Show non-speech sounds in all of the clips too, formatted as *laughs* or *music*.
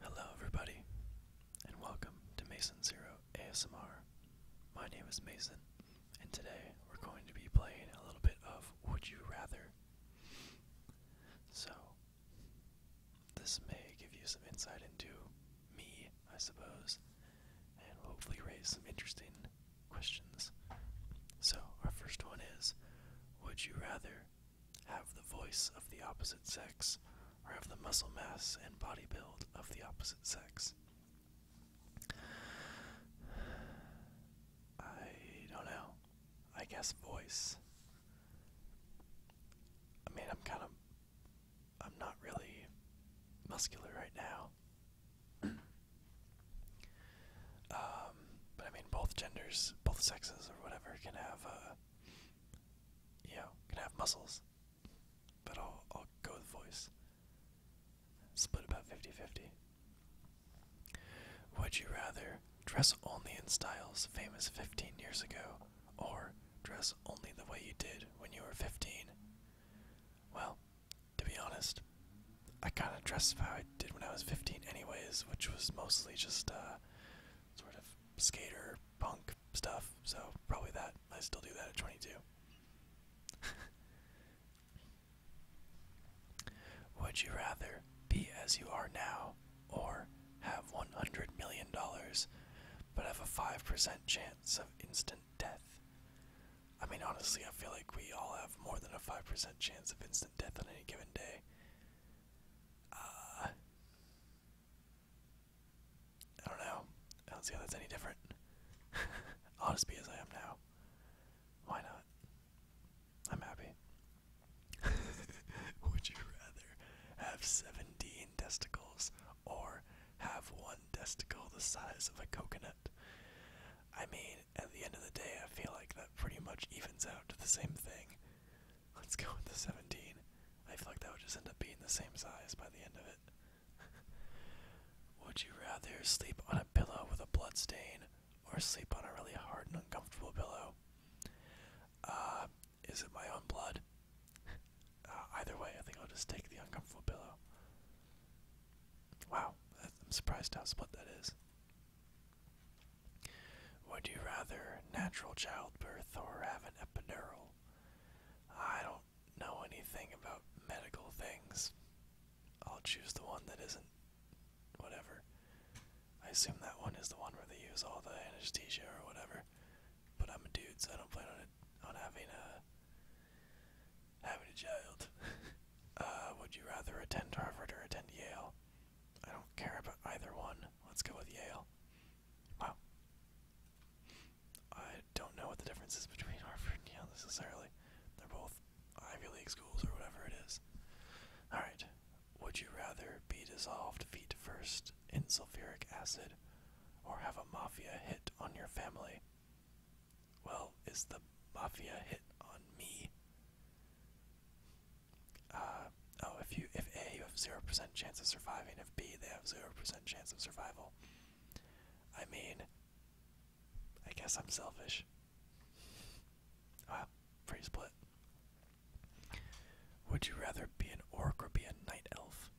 Hello, everybody, and welcome to Mason Zero ASMR. My name is Mason, and today we're going to be playing a little bit of Would You Rather. So, this may give you some insight into me, I suppose, and hopefully raise some interesting questions. So, our first one is Would you rather have the voice of the opposite sex or have the muscle mass and body build of the opposite sex? I don't know. I guess voice. I mean, I'm kind of. I'm not really muscular right now. *clears throat* Um, but I mean, both genders, both sexes, or whatever, can have, uh, you know, can have muscles. But I'll, I'll go with voice. Split about 50 50. Would you rather dress only in styles famous 15 years ago or dress only the way you did when you were 15? Well, to be honest, I kind of dressed how I did when I was 15, anyways, which was mostly just uh, sort of skater punk stuff, so probably that. I still do that at 22. *laughs* Would you rather be as you are now or have $100 million but have a 5% chance of instant death. I mean, honestly, I feel like we all have more than a 5% chance of instant death on any given day. Uh, I don't know. I don't see how that's any different. I'll just be as I am now. Why not? I'm happy. *laughs* Would you rather have 17 testicles or have one testicle the size of a coconut? I mean, at the end of the day, I feel like that pretty much evens out to the same thing. Let's go with the 17. I feel like that would just end up being the same size by the end of it. Would you rather sleep on a pillow with a blood stain or sleep on a really hard and uncomfortable pillow? Uh, is it my own blood? Uh, either way, I think I'll just take the uncomfortable pillow. Wow, I'm surprised how split that is. Would you rather natural childbirth or have an epidural? I don't know anything about medical things. I'll choose the one that isn't. Whatever. I assume that one is the one where they use all the anesthesia or whatever. But I'm a dude, so I don't plan on it, on having a having a child. *laughs* uh, would you rather attend Harvard or attend Yale? I don't care about either one. Let's go with Yale. Wow. I don't know what the difference is between *laughs* Harvard and Yale necessarily. They're both Ivy League schools or whatever it is. Alright, would you rather be dissolved feet first in sulfuric acid or have a mafia hit on your family? Well, is the mafia hit on me? Uh, oh, if you if A you have zero percent chance of surviving, if B they have zero percent chance of survival. I mean, I guess I'm selfish. Wow, pretty split. Would you rather be an orc or be a night elf?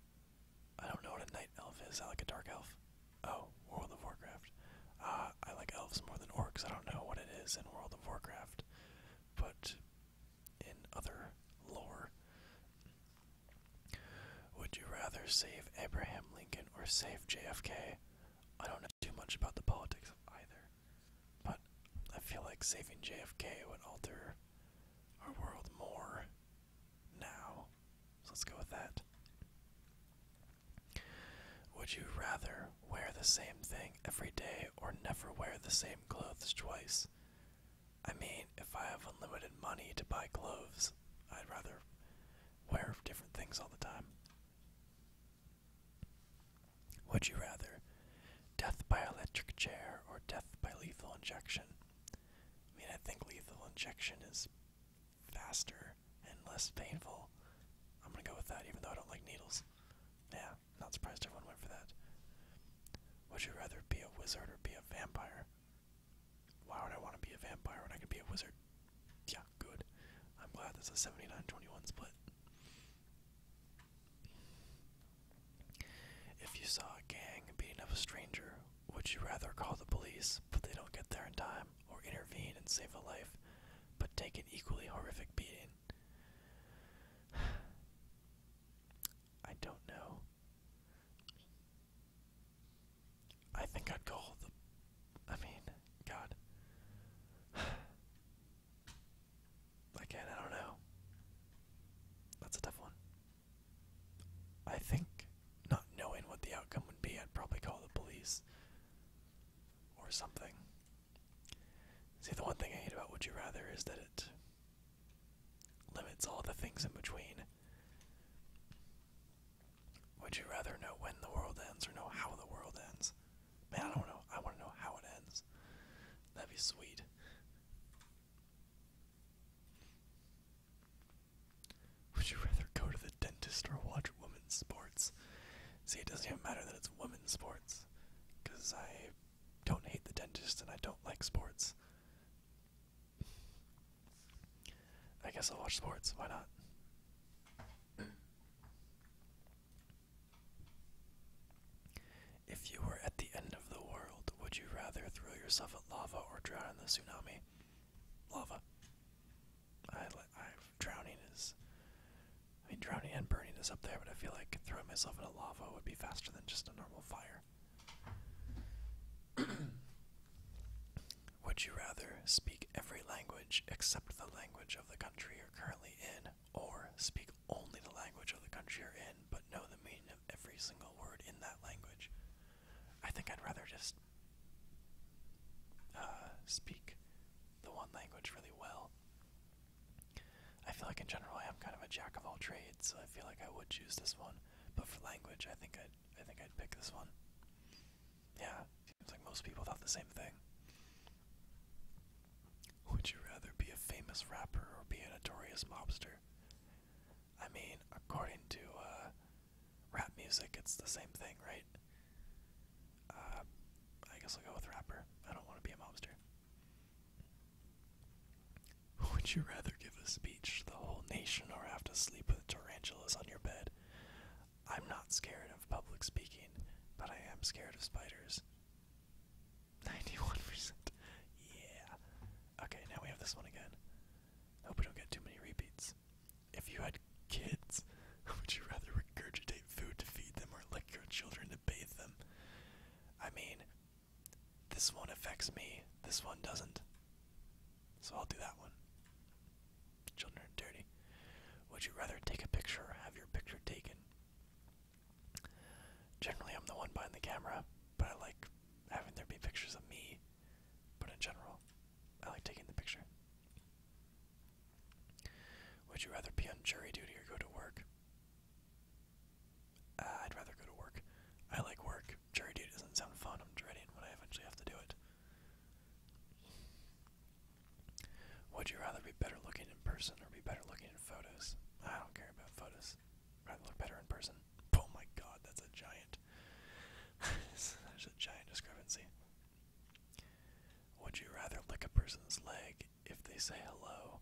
I don't know what a night elf is. I like a dark elf. Oh, World of Warcraft. Uh, I like elves more than orcs. I don't know what it is in World of Warcraft, but in other lore. Would you rather save Abraham Lincoln or save JFK? I don't know too much about the politics of either. But I feel like saving JFK would alter our world more now. So let's go with that. Would you rather wear the same thing every day or never wear the same clothes twice? I mean, if I have unlimited money to buy clothes, I'd rather wear different things all the time. Would you rather death by electric chair or death by lethal injection? I mean, I think lethal injection is faster and less painful. I'm gonna go with that, even though I don't like needles. Yeah, not surprised everyone went for that. Would you rather be a wizard or be a vampire? Why would I want to be a vampire when I could be a wizard? Yeah, good. I'm glad there's a 79 21 split. If you saw a gang beating up a stranger, would you rather call the police, but they don't get there in time, or intervene and save a life, but take an equally horrific beating? *sighs* I don't know. I think I'd call the. I mean, God. *sighs* Again, I don't know. That's a tough one. I think, not knowing what the outcome would be, I'd probably call the police or something. See, the one thing I hate about Would You Rather is that it limits all the things in between. Would you rather know when the world ends or know how the world ends? Man, I don't know. I want to know how it ends. That'd be sweet. Would you rather go to the dentist or watch women's sports? See, it doesn't even matter that it's women's sports. Because I don't hate the dentist and I don't like sports. I guess I'll watch sports. Why not? If you were at the end of the world, would you rather throw yourself at lava or drown in the tsunami? Lava. I, I drowning is. I mean, drowning and burning is up there, but I feel like throwing myself a lava would be faster than just a normal fire. *clears throat* would you rather speak every language except the language of the country you're currently in, or speak only the language of the country you're in, but know the meaning of every single word in that language. I think I'd rather just uh, speak the one language really well. I feel like in general I am kind of a jack of all trades, so I feel like I would choose this one. But for language, I think I'd I think I'd pick this one. Yeah, seems like most people thought the same thing. Would you rather be a famous rapper or be a notorious mobster? I mean, according to uh, rap music, it's the same thing, right? Uh, I guess I'll go with rapper. I don't want to be a mobster. *laughs* Would you rather give a speech to the whole nation or have to sleep with tarantulas on your bed? I'm not scared of public speaking, but I am scared of spiders. Ninety-one percent. Yeah. Okay, now we have this one again. Hope we don't get too many repeats. If you had kids, *laughs* would you rather regurgitate food to feed them or lick your children to bathe them? I mean, this one affects me, this one doesn't. So I'll do that one. Children are dirty. Would you rather take a picture or have your picture taken? Generally, I'm the one behind the camera, but I like having there be pictures of me. But in general, I like taking the picture. Would you rather be on jury duty or go to work? Uh, I'd rather go to work. I like work. Jury duty doesn't sound fun. I'm dreading when I eventually have to do it. Would you rather be better looking in person or be better looking in photos? I don't care about photos. I'd look better in person. Oh my god, that's a giant. *laughs* There's a giant discrepancy. Would you rather lick a person's leg if they say hello,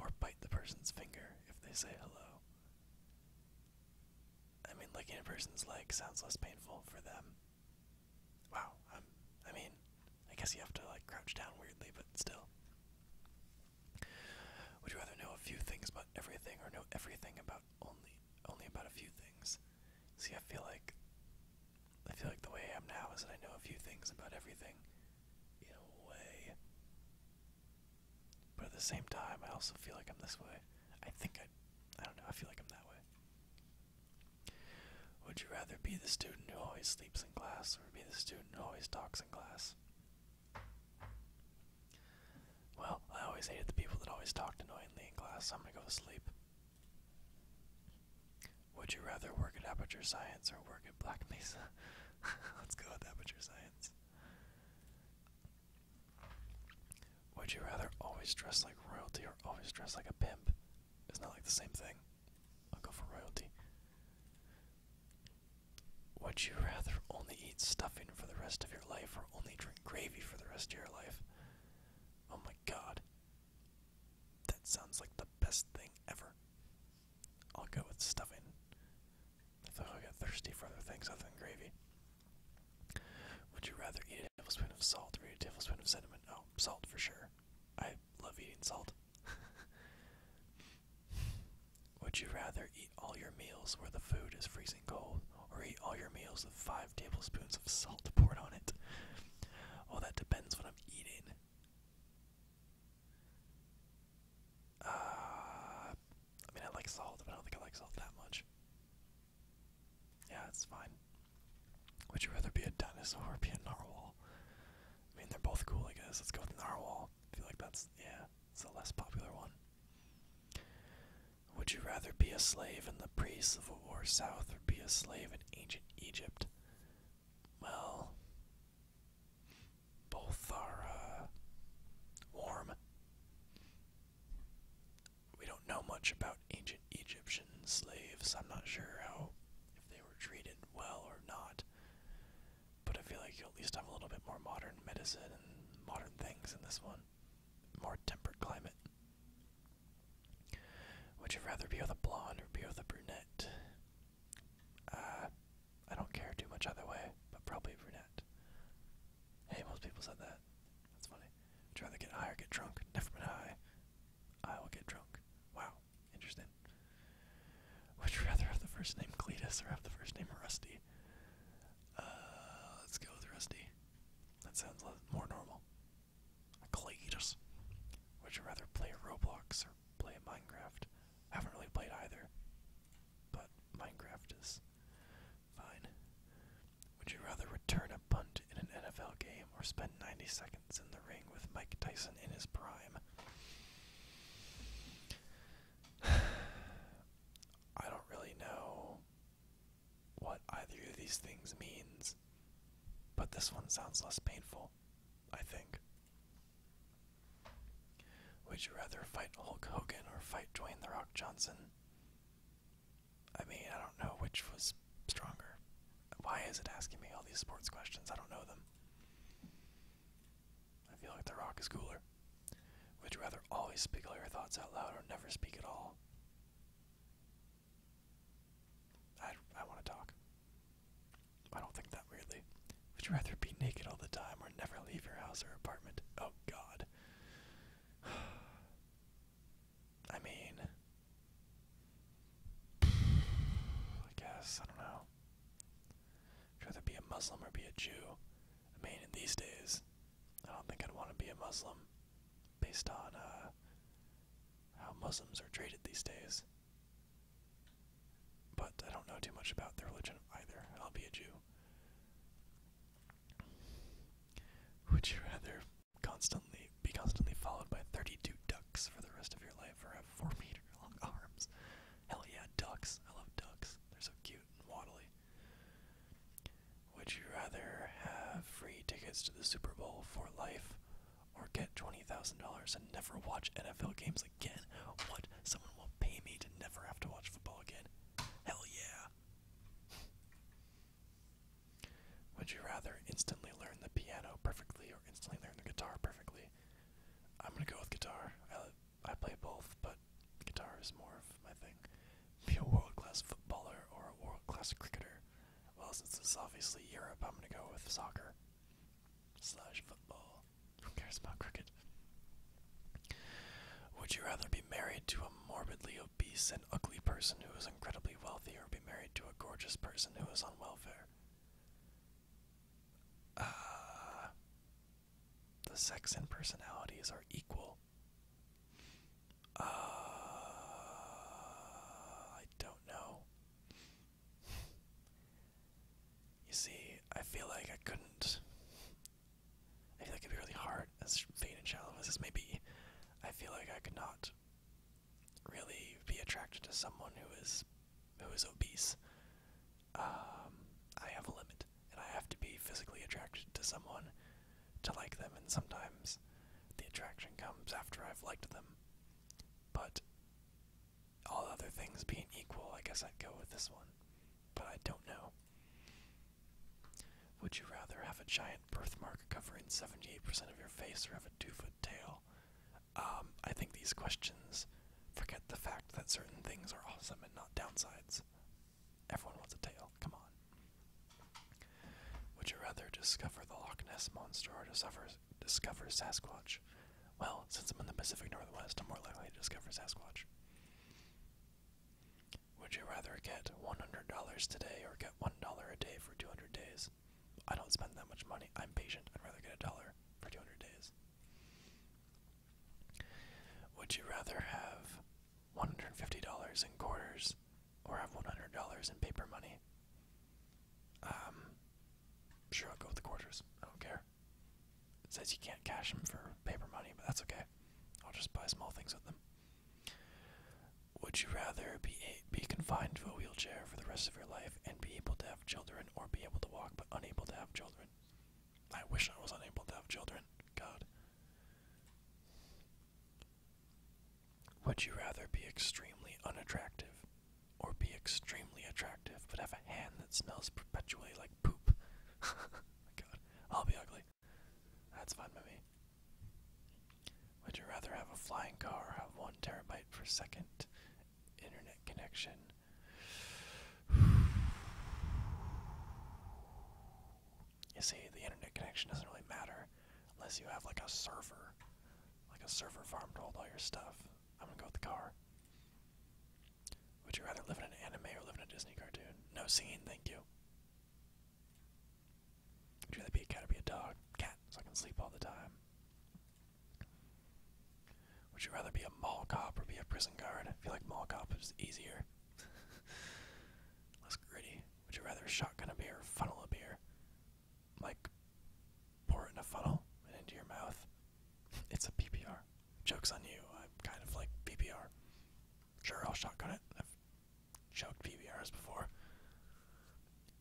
or bite the person's finger if they say hello? I mean, licking a person's leg sounds less painful for them. Wow, i mean, I guess you have to like crouch down weirdly, but still. Would you rather know a few things about everything or know everything about only only about a few things? See, I feel like I feel like the way I am now is that I know a few things about everything in a way. But at the same time, I also feel like I'm this way. I think I I don't know, I feel like I'm that way. Would you rather be the student who always sleeps in class or be the student who always talks in class? Well, I always hated the people that always talked annoyingly in class, I'm gonna go to sleep. Would you rather work at Aperture Science or work at Black Mesa? *laughs* Let's go with Aperture Science. Would you rather always dress like royalty or always dress like a pimp? It's not like the same thing. I'll go for royalty. Would you rather only eat stuffing for the rest of your life or only drink gravy for the rest of your life? Oh my god. That sounds like the best thing ever. I'll go with stuffing. I thought I got thirsty for other things other than gravy. Would you rather eat a tablespoon of salt or eat a tablespoon of cinnamon? Oh, salt for sure. I love eating salt. *laughs* Would you rather eat all your meals where the food is freezing cold, or eat all your meals with five tablespoons of salt poured on it? Well, oh, that depends what I'm eating. Uh, I mean, I like salt, but I don't think I like salt that much. Yeah, it's fine. Would you rather be a dinosaur or be a narwhal? I mean, they're both cool, I guess. Let's go with narwhal. I feel like that's, yeah, it's a less popular one. Would you rather be a slave in the pre Civil War South or be a slave in ancient Egypt? Well, both are uh, warm. We don't know much about ancient Egyptian slaves. I'm not sure how if they were treated well or not. But I feel like you at least have a little bit more modern medicine and modern things in this one. More temperate climate. Would you rather be with a blonde or be with a brunette? Uh, I don't care too much either way, but probably brunette. Hey, most people said that. That's funny. Would you rather get high or get drunk? Never been high. I will get drunk. Wow interesting. Would you rather have the first name Cletus or have the first name Rusty? Uh, let's go with Rusty. That sounds more normal. Cletus. Would you rather play Roblox or play Minecraft? I haven't really played either, but Minecraft is fine. Would you rather return a punt in an NFL game or spend 90 seconds? in the ring with Mike Tyson in his prime. *sighs* I don't really know what either of these things means, but this one sounds less painful, I think. Would you rather fight Hulk Hogan or fight Dwayne The Rock Johnson? I mean, I don't know which was stronger? Why is it asking me all these sports questions? I don't know them. I feel like The Rock is cooler. Would you rather always speak all your thoughts out loud or never speak at all? I, I want to talk. I don't think that weirdly. Would you rather be naked all the time or never leave your house or apartment? Oh, God. *sighs* I mean, I guess, I don't know. I'd rather be a Muslim or be a Jew. I mean, in these days, I don't think I'd want to be a Muslim based on uh, how Muslims are treated these days. But I don't know too much about their religion either. I'll be a Jew. Would you rather constantly be constantly followed by 32 ducks for the rest of your life or have 4 *laughs* meter long arms. Hell yeah, ducks. I love ducks. They're so cute and waddly. Would you rather have free tickets to the Super Bowl for life or get $20,000 and never watch NFL games again? What? Someone will pay me to never have to watch football again? Hell yeah. Would you rather instantly learn the piano perfectly or instantly learn the guitar perfectly? I'm gonna go with guitar. I, I play both, but guitar is more of my thing. Be a world class footballer or a world class cricketer. Well, since it's obviously Europe, I'm gonna go with soccer slash football. Who cares about cricket? Would you rather be married to a morbidly obese and ugly person who is incredibly wealthy or be married to a gorgeous person who is unwell uh, the sex and personalities are equal. Uh, I don't know. You see, I feel like I couldn't. I feel like it'd be really hard, as vain and shallow as this may be. I feel like I could not really be attracted to someone who is who is obese. Um, I have a limit, and I have to be physically attracted to someone to like them. And sometimes the attraction comes after I've liked them. But all other things being equal, I guess I'd go with this one. But I don't know. Would you rather have a giant birthmark covering 78% of your face or have a two foot tail? Um, I think these questions forget the fact that certain things are awesome and not downsides. Everyone wants a tail. Come on. Would you rather discover the Loch Ness monster or discover Sasquatch? Well, since I'm in the Pacific Northwest, I'm more likely to discover Sasquatch. Would you rather get $100 today or get $1 a day for 200 days? I don't spend that much money. I'm patient. I'd rather get a dollar for 200 days. Would you rather have $150 in quarters or have $100 in paper money? Um, sure, I'll go with the quarters. I don't care. It says you can't cash them for paper money, but that's okay. I'll just buy small things with them. Would you rather be be confined to a wheelchair for the rest of your life and be able to have children, or be able to walk but unable to have children? I wish I was unable to have children. God. Would you rather be extremely unattractive, or be extremely attractive but have a hand that smells perpetually like poop? *laughs* My God, I'll be ugly. That's fun by me. Would you rather have a flying car or have one terabyte per second internet connection? You see, the internet connection doesn't really matter unless you have like a server, like a server farm to hold all your stuff. I'm gonna go with the car. Would you rather live in an anime or live in a Disney cartoon? No scene, thank you. Would you rather be a cat or be a dog. Cat, so I can sleep all the time. Would you rather be a mall cop or be a prison guard? I feel like mall cop is easier. *laughs* Less gritty. Would you rather shotgun a beer or funnel a beer? Like, pour it in a funnel and into your mouth. *laughs* It's a PPR. Joke's on you. I'm kind of like PPR. Sure, I'll shotgun it. Choked PBRs before.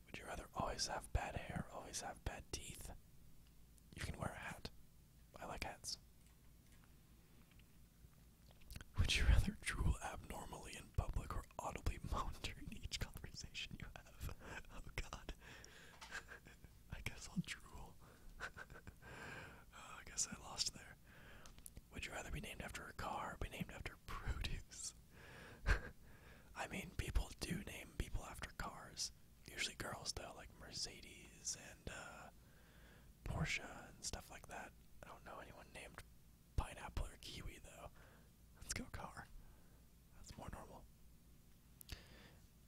Would you rather always have bad hair, always have bad teeth? You can wear a hat. I like hats. Would you rather drool abnormally in public or audibly *laughs* monitor each conversation you have? *laughs* Oh god. *laughs* I guess I'll drool. Oh, I guess I lost there. Would you rather be named after a car or be named after produce? *laughs* I mean, people do name people after cars. Usually girls, though, like Mercedes and uh, Porsche and stuff like that. I don't know anyone named Pineapple or Kiwi, though. Let's go car. That's more normal.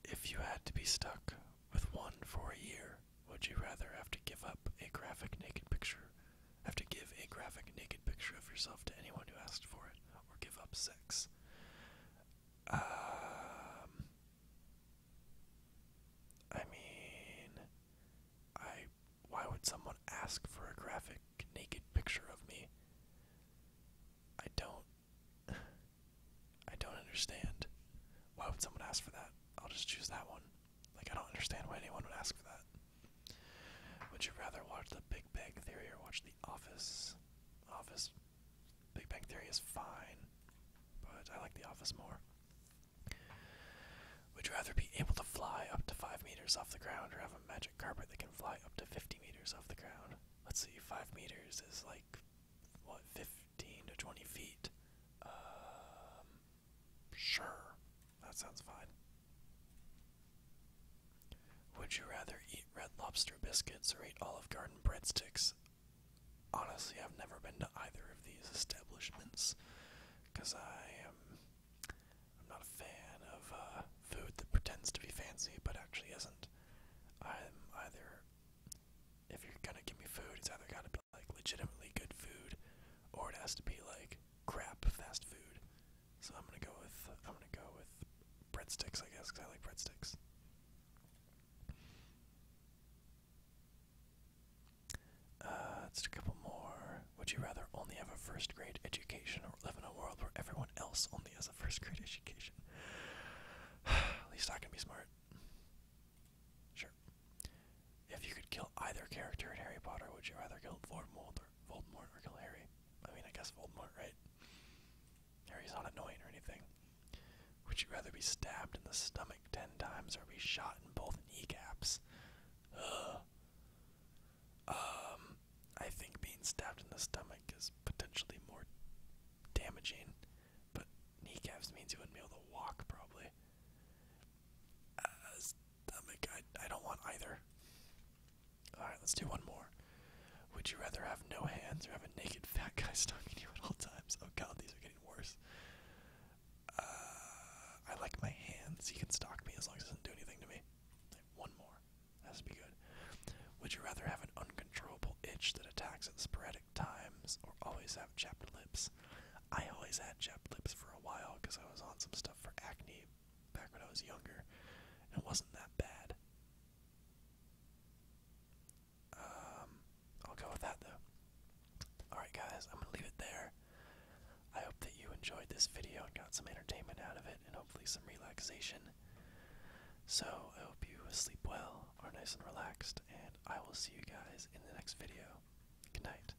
If you had to be stuck with one for a year, would you rather have to give up a graphic naked picture have to give a graphic naked picture of yourself to anyone who asked for it, or give up sex. Um, I mean, I. Why would someone ask for a graphic naked picture of me? I don't. *sighs* I don't understand. Why would someone ask for that? I'll just choose that one. Like, I don't understand why anyone would ask for that. Would you rather watch The Big Bang Theory or watch The Office? Office. Big Bang Theory is fine, but I like The Office more. Would you rather be able to fly up to 5 meters off the ground or have a magic carpet that can fly up to 50 meters off the ground? Let's see, 5 meters is like, what, 15 to 20 feet? Um, sure. That sounds fine. Would you rather eat red lobster biscuits or eat Olive Garden breadsticks? Honestly, I've never been to either of these establishments because I am not a fan of uh, food that pretends to be fancy but actually isn't. I'm either if you're gonna give me food, it's either gotta be like legitimately good food or it has to be like crap fast food. So I'm gonna go with I'm gonna go with breadsticks, I guess, because I like breadsticks. Uh, a couple more. Would you rather only have a first grade education or live in a world where everyone else only has a first grade education? *sighs* At least I can be smart. Sure. If you could kill either character in Harry Potter, would you rather kill Voldemort Voldemort or kill Harry. I mean, I guess Voldemort, right? Harry's not annoying or anything. Would you rather be stabbed in the stomach ten times or be shot in both kneecaps? Um, I think being stabbed in the stomach is potentially more damaging, but kneecaps means you wouldn't be able to walk, probably. Uh, I, don't want either. Alright, let's do one more. Would you rather have no hands or have a naked fat guy stalking you at all times? Oh god, these are getting worse. Uh, I like my hands. He can stalk me as long as he doesn't do anything to me. One more. That has be good. Would you rather have an uncontrollable itch that attacks at sporadic times or always have chapped lips? I always had chapped lips for a while because I was on some stuff for acne, back when I was younger, it wasn't that bad. Um, I'll go with that though. Alright, guys, I'm gonna leave it there. I hope that you enjoyed this video and got some entertainment out of it, and hopefully some relaxation. So, I hope you sleep well, are nice and relaxed, and I will see you guys in the next video. Good night.